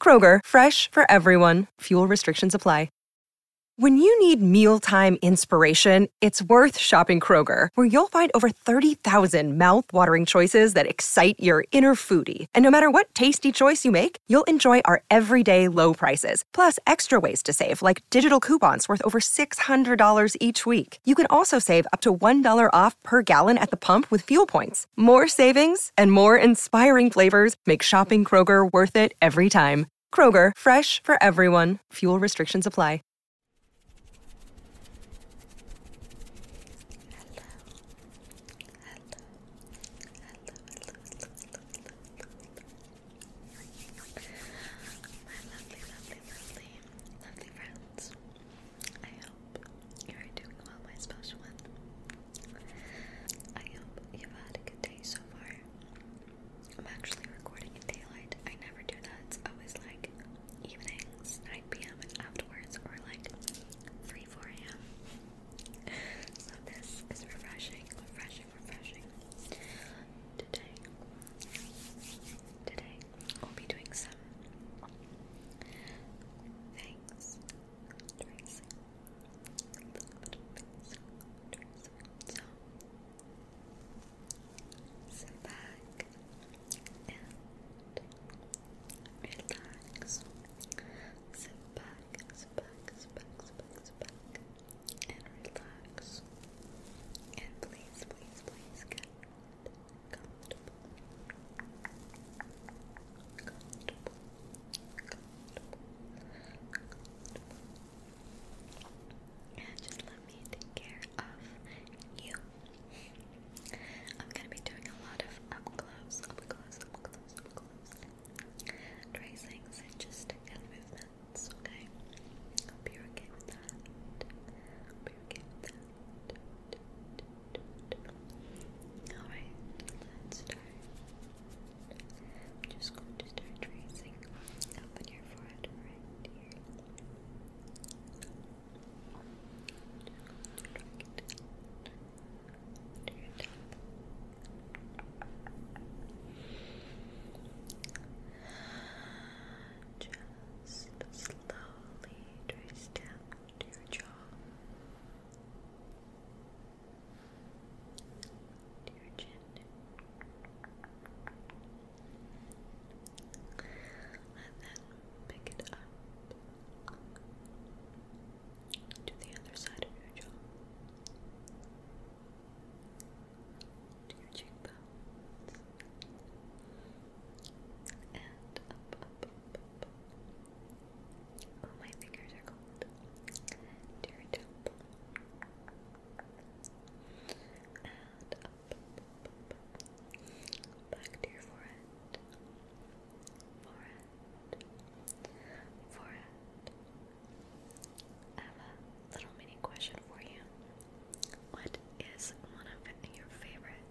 Kroger, fresh for everyone. Fuel restrictions apply. When you need mealtime inspiration, it's worth shopping Kroger, where you'll find over 30,000 mouthwatering choices that excite your inner foodie. And no matter what tasty choice you make, you'll enjoy our everyday low prices, plus extra ways to save, like digital coupons worth over $600 each week. You can also save up to $1 off per gallon at the pump with fuel points. More savings and more inspiring flavors make shopping Kroger worth it every time. Kroger, fresh for everyone. Fuel restrictions apply you are doing well, my special one. I hope you've had a good day so far. I'm actually recording in daylight. I never do that. It's always like evenings, 9 p.m. and afterwards, or like 3, 4 a.m. So this is refreshing, refreshing, refreshing. Today, today, I'll be doing some things tracing, a sit back and relax. sit back, sit back, sit back, sit back, and relax. And please, please, please get comfortable. And just let me take care of you. I'm gonna be doing a lot of up close, up close, up close, up close tracings and just hand movements, okay? Hope you're okay with that. Hope you're okay with that. Alright, let's start. I'm just going to start tracing up on your forehead here. Just slowly trace down to your jaw to chin. And then pick it up to the other side of your jaw, to your cheekbones, and up, up, up, up. Oh, my fingers are cold. To your temple. And up, up, up, back to your forehead. Forehead. Forehead. I little mini question for you. What is one of your favorite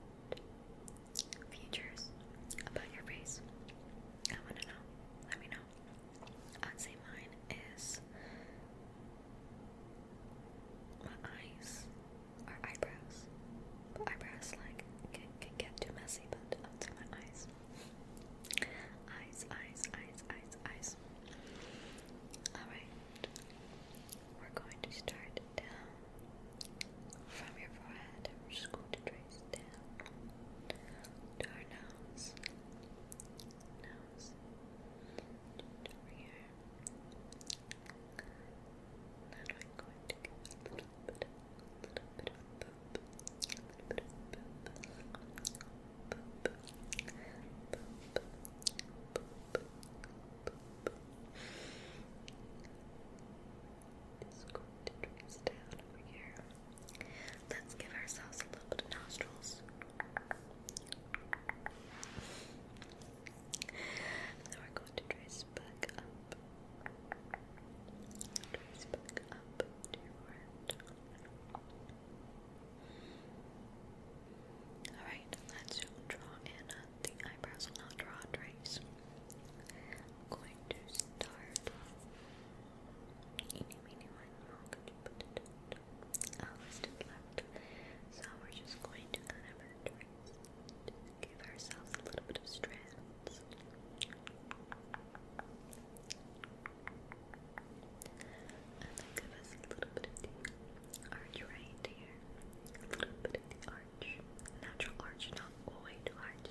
futures about your face? I want to know. Let me know. I'd say mine is my eyes or eyebrows. eyebrows like can, get too messy, but I'd my eyes. Eyes, eyes, eyes, eyes, eyes. Alright. We're going to start down from your forehead, we're just going to trace down to our nose. Nose. Just over here. Then we're going to give a little bit, a little bit of boop. A little bit of boop. Boop. Boop. Boop. Boop. Boop. Let's give ourselves a little bit of nostrils. then we're going to trace back up. Trace back up Alright, let's draw in the eyebrows. I'll draw a trace. I'm going to start oh, So we're just going to kind of give ourselves a little bit of strands. And then give us a little bit of the arch right here. A little bit of the arch. Natural arch, not way too arch.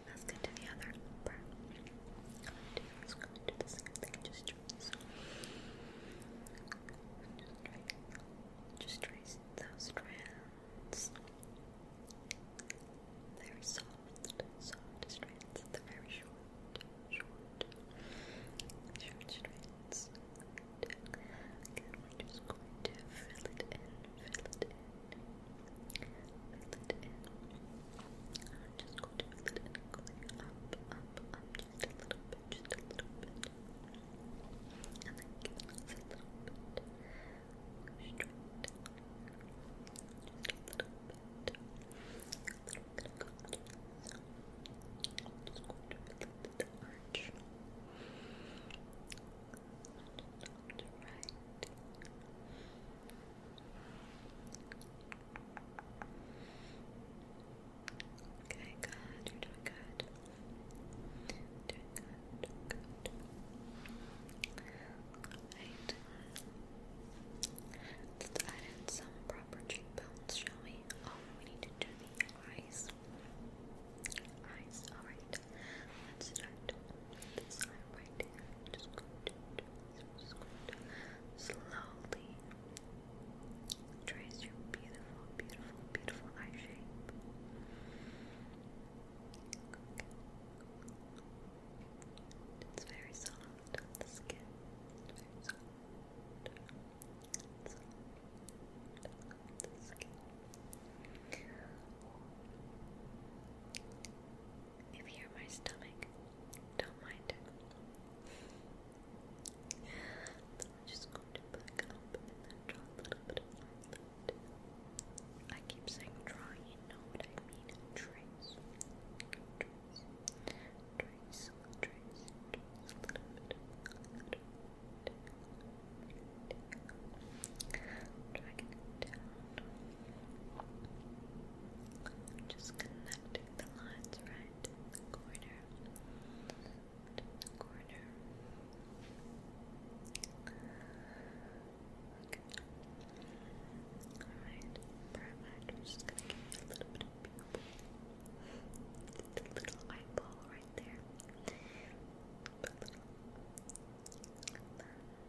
Let's get to the other upper. Let's go to the second thing. Just trace. those strands. They're soft, soft strands. They're very short, short, short strands. Good. we're just going to fill it in, fill it in fill it in. i just going to fill up, up, up, just a little bit, just a little bit. And then give it a little bit. Go straight down. Just a little bit. A little bit of conscience. I'm just going to fill it in the arch. Just up to right. Just Okay, good. You're doing good. Doing good. Doing good. Alright. Let's add in some proper cheekbones, shall we? Oh, we need to do the eyes. Eyes. Alright. Let's start with just going to, slowly trace your beautiful, beautiful, beautiful eye shape. It's very soft on the skin. very soft. on the skin. If you hear my stomach, don't mind it. just going to back up and then draw a little bit of my I keep saying draw, you know what I mean. Trace. Trace. Trace. Trace. A little bit. A little bit. Drag it down. Just connecting the lines right the corner. the corner. Okay. perfect. I'm just gonna give you a little bit of pupil. The little eyeball right there.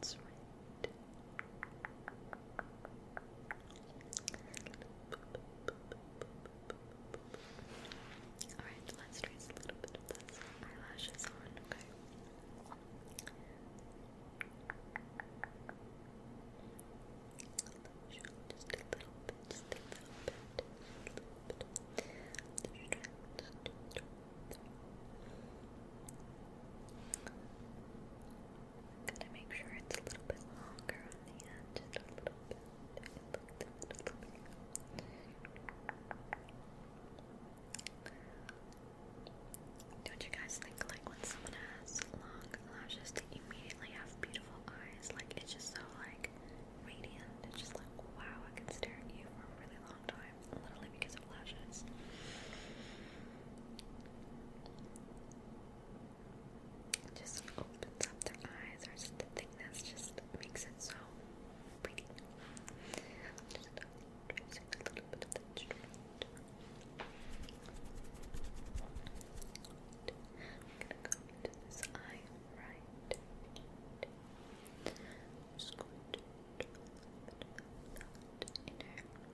That's right. Alright, let's trace a little bit of those eyelashes on, okay? Just a little bit, just a little bit, just a little bit. Just going to make sure it's a little bit longer on the end, a little bit. It looks a little bit. Don't you guys think like when someone has long lashes they immediately have beautiful eyes? Like it's just so like radiant. It's just like wow, I can stare at you for a really long time, literally because of lashes just opens up their eyes or just the just makes it so pretty. Just a little bit of that straight. I'm gonna go into this eye right. I'm just going to do a little bit of that inner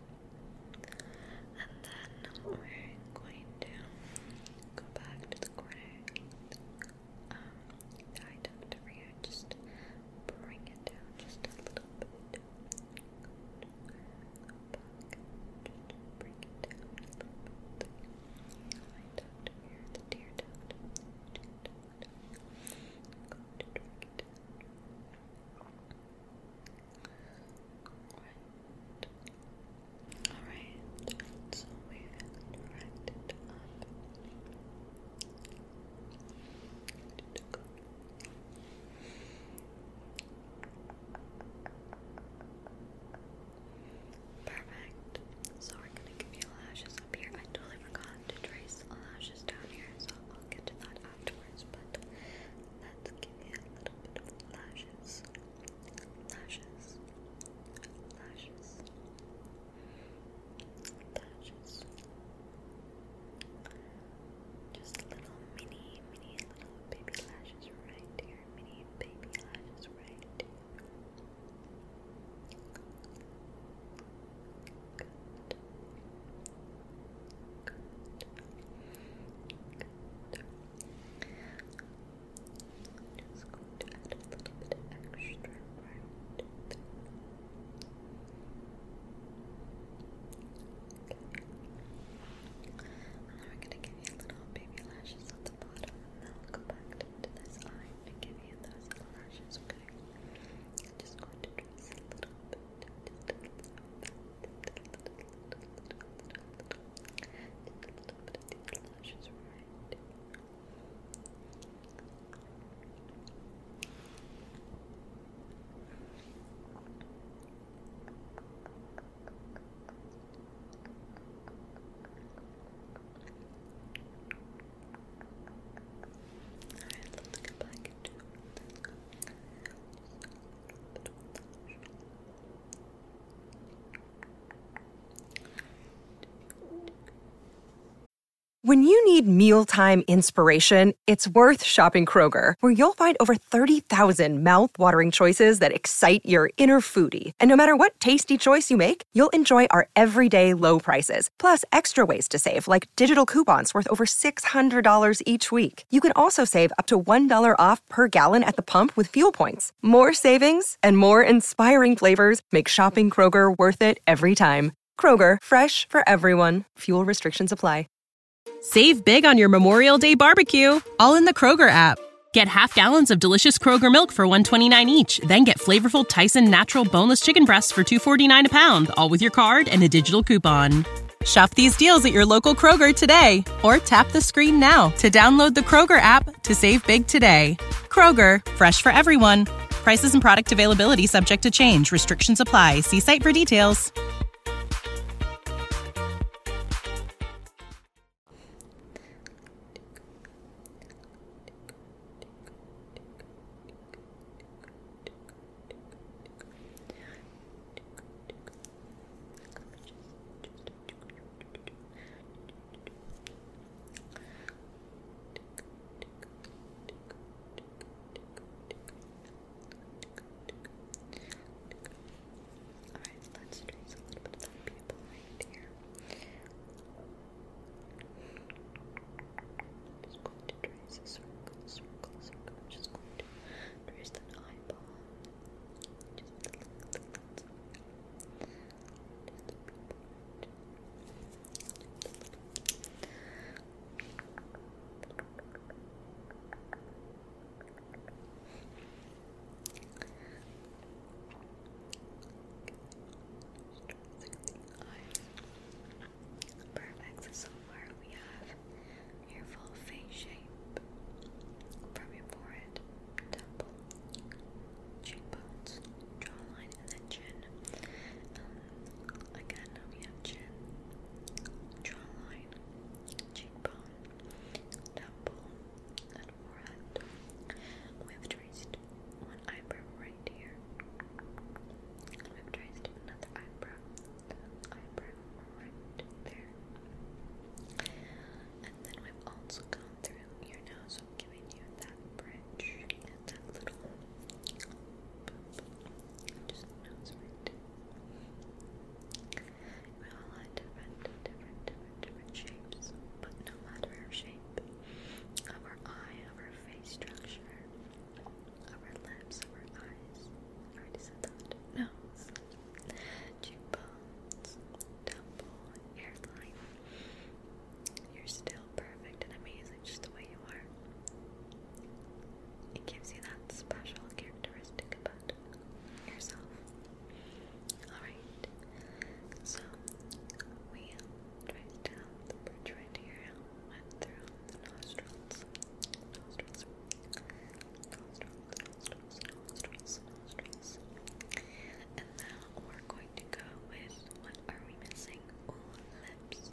And then we're going to go back to the corner. Um, eye tucked here. Just bring it down just a little bit. bring it down a little bit. Eye tucked here. tear tucked. Tear tucked. Go down. Alright, so we can write up. Perfect. So we're gonna give you lashes up here. I totally forgot to trace lashes down here, so I'll get to that afterwards, but let's give you a little bit of lashes. Lashes. Lashes. Lashes. Just little mini, mini little baby lashes right here. Mini baby lashes right here i just going to add a little bit extra And then we're gonna give you little baby lashes at the bottom, and then we'll go back to, this eye and give you those little lashes, okay? just going to trace a little bit. Alright, let's get back into when you need mealtime inspiration, it's worth shopping Kroger, where you'll find over 30,000 thousand mouth-watering choices that excite your inner foodie. And no matter what tasty choice you make, you'll enjoy our everyday low prices, plus extra ways to save, like digital coupons worth over $600 each week. You can also save up to $1 off per gallon at the pump with fuel points. More savings and more inspiring flavors make shopping Kroger worth it every time. Kroger, fresh for everyone. Fuel restrictions apply. Save big on your Memorial Day barbecue, all in the Kroger app. Get half gallons of delicious Kroger milk for 129 each, then get flavorful Tyson natural boneless chicken breasts for 249 a pound, all with your card and a digital coupon. Shop these deals at your local Kroger today or tap the screen now to download the Kroger app to save big today. Kroger, fresh for everyone. Prices and product availability subject to change. Restrictions apply. See site for details. Alright, let's trace a little bit of that people right here. just going to trace a circle, circle, circle. just going to trace just an Perfect. So far we have your full face shape from your forehead, temple, cheekbones, jawline, and then chin. Um, again, we have chin, jawline, cheekbone, temple, and forehead. We one eyebrow right here. We eyebrow right there. And then we've also gone through your nose, giving you that bridge and that little just nose right. We all had different, different, different, shapes, but no matter our shape, of our eye, of our face structure, of our lips, of our eyes. already said that. Nose cheekbones, temple, hairline. You're still perfect and amazing just the way you are. It gives you that special characteristic about yourself. Alright, so we traced out the bridge right here, went through the Nostrils nostrils, nostrils, And now we're going to go with what are we missing? lips,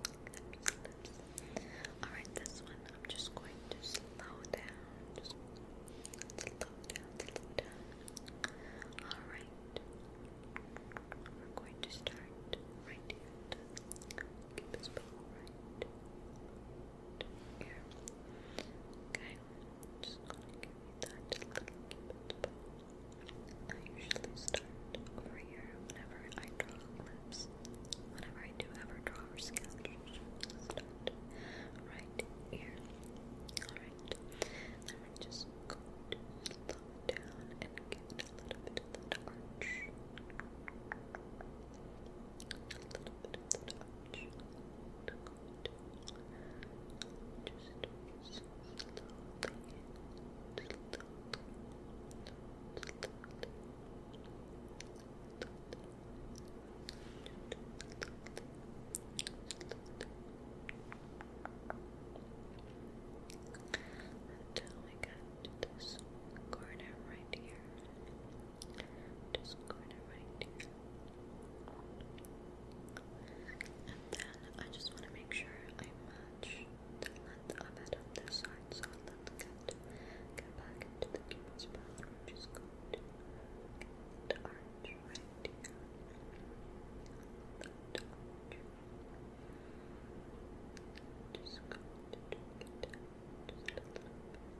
Alright, this one I'm just going to slow down. slow down, Alright. We're going to start right here. Keep this ball right. Okay, i just gonna give a little bit. I usually start over here whenever I draw lips. Whenever I do ever draw or sketch, start right here. Alright, then we just going down and get a little bit of that arch until we got this corner right here. Just kind of right here. And then I just want to make sure I match the length of it this side so that get get back into the keyboard's path. i just going to the right here. That arch. Just going to do it just a little bit.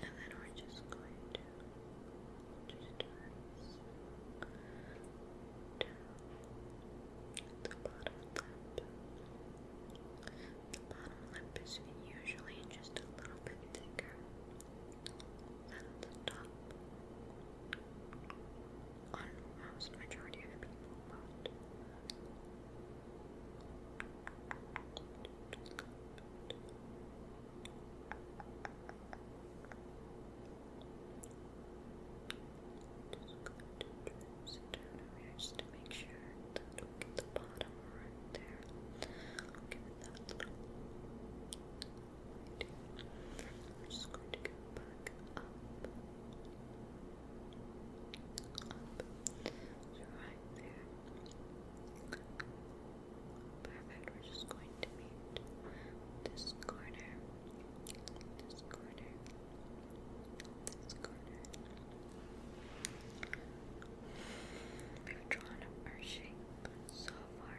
And then we're just going to just trace down the bottom The bottom lip is usually just a little bit thicker than the top. On most majority of people, just going to make sure that we get the bottom right there. give it that little just going to go back up. Up. right there. Perfect, we're just going to meet this corner, this corner, this corner. We've drawn our shape so far,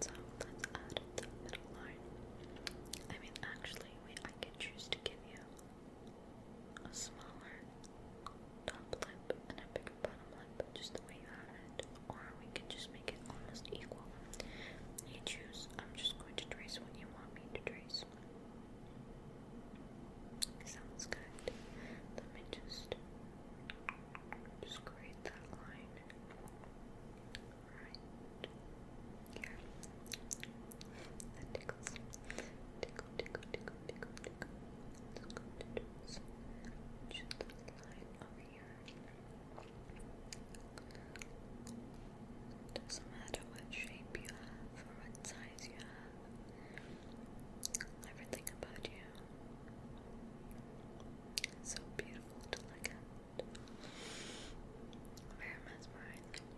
so let's add the middle line. I mean, actually, we, I could choose to give you a smaller top lip and a bigger bottom lip, just the way you have it. Or we could just make it almost equal. You choose. I'm just going to trace when you want me to trace. Sounds good. Let me just just create that line. Right here. tickles. Tickle, tickle, tickle. Doesn't matter what shape you have or what size you have. Everything about you. It's so beautiful to look at. Very mesmerizing.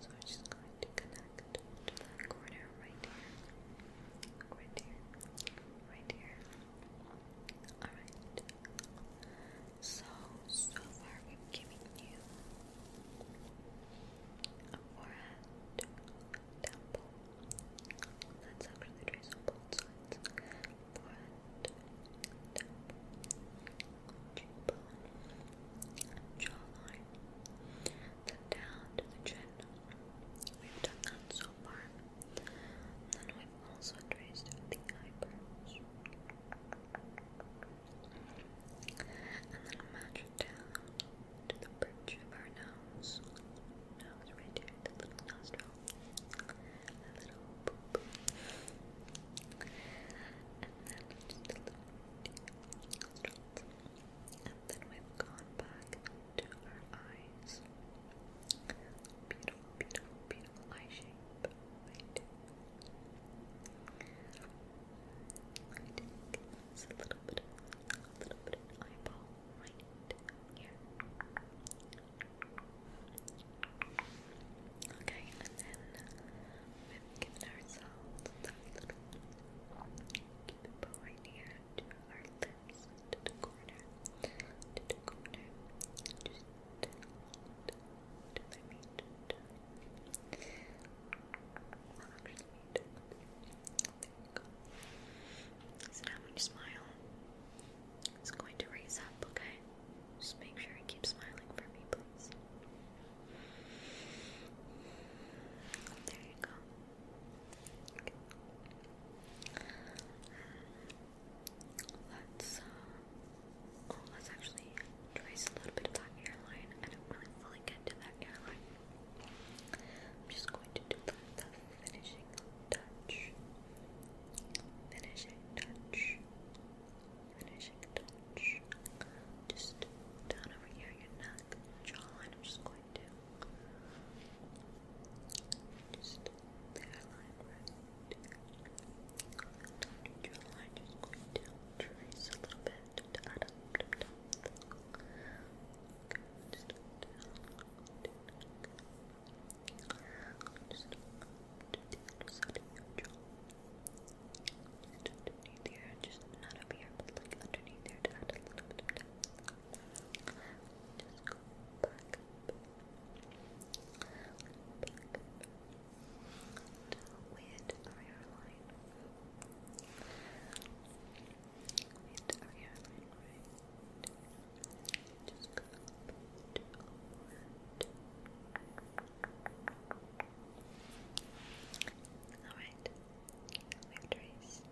So we're just going to connect back to that corner right here. Right here. Right here. Alright. So, so far we've given you forehead, temple. Let's actually trace on both sides. Forehead, temple, jawline down to the chin. We've done that so far. then we've also traced the eyebrows. And then match down to the bridge of our nose. Nose right here, the little nostril. And then just a little nostril. Then we've gone back to our eyes. Beautiful, beautiful, beautiful eye shape. I do. I little bit of, little bit of eyeball right here. Okay, and then we've given ourselves Keep it behind here our lips, to the corner, to the corner. Just to, to, to my meat. To. Well, actually, meat. There we go. So now when you smile, it's going to raise up, okay? Just make sure you keep smiling for me, please. Good. There you go. Let's, let's actually trace a little bit of that airline. I do really fully get to that airline. I'm just going to do the, finishing touch. Finishing touch. Finishing touch. Just down over here, your back jawline. I'm just going to just the hairline right there. The just going to trace a little bit to add up to the just underneath here, just not up here, but underneath here to add a little Just go back up. Back up. With our hairline. With our hairline, right? Just go up to Alright, we traced,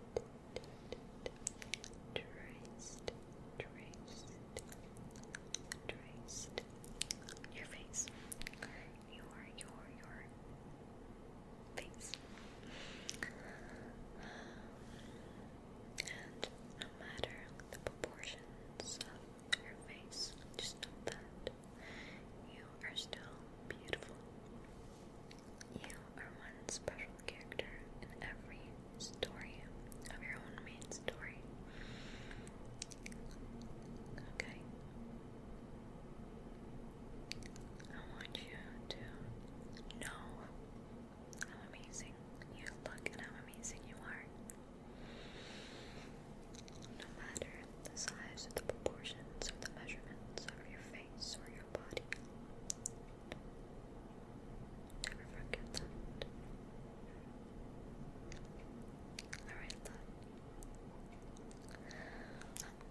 traced, traced, traced your face, your, your, your face. And no matter the proportions of your face, just know that you are still beautiful. You are one special character in every story of your own main story. Okay. I want you to know how amazing you look and how amazing you are. No matter the size the proportions or the measurements of your face eyes your body. Never forget that. Alright, love. I'm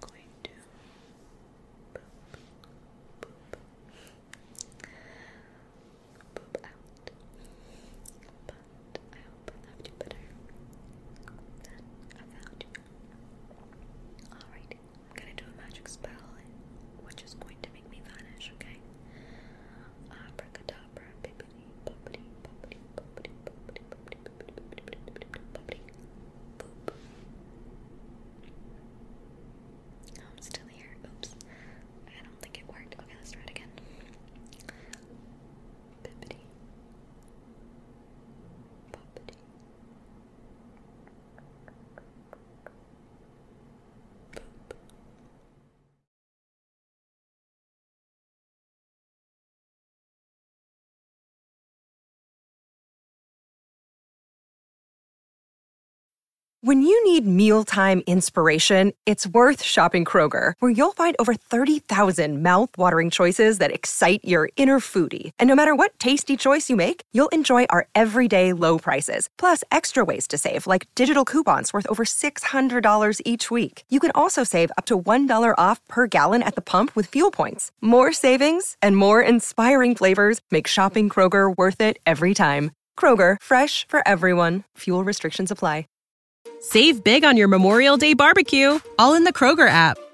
going to poop, poop, poop out. But I hope I left you better than I found you. Alright, I'm gonna do a magic spell, which is going to make me vanish, okay? I'm still here. Oops. I don't think it worked. Okay, let's try again. When you need mealtime inspiration, it's worth shopping Kroger, where you'll find over 30,000 mouthwatering watering choices that excite your inner foodie. And no matter what tasty choice you make, you'll enjoy our everyday low prices, plus extra ways to save, like digital coupons worth over $600 each week. You can also save up to $1 off per gallon at the pump with fuel points. More savings and more inspiring flavors make shopping Kroger worth it every time. Kroger, fresh for everyone. Fuel restrictions apply. Save big on your Memorial Day barbecue, all in the Kroger app.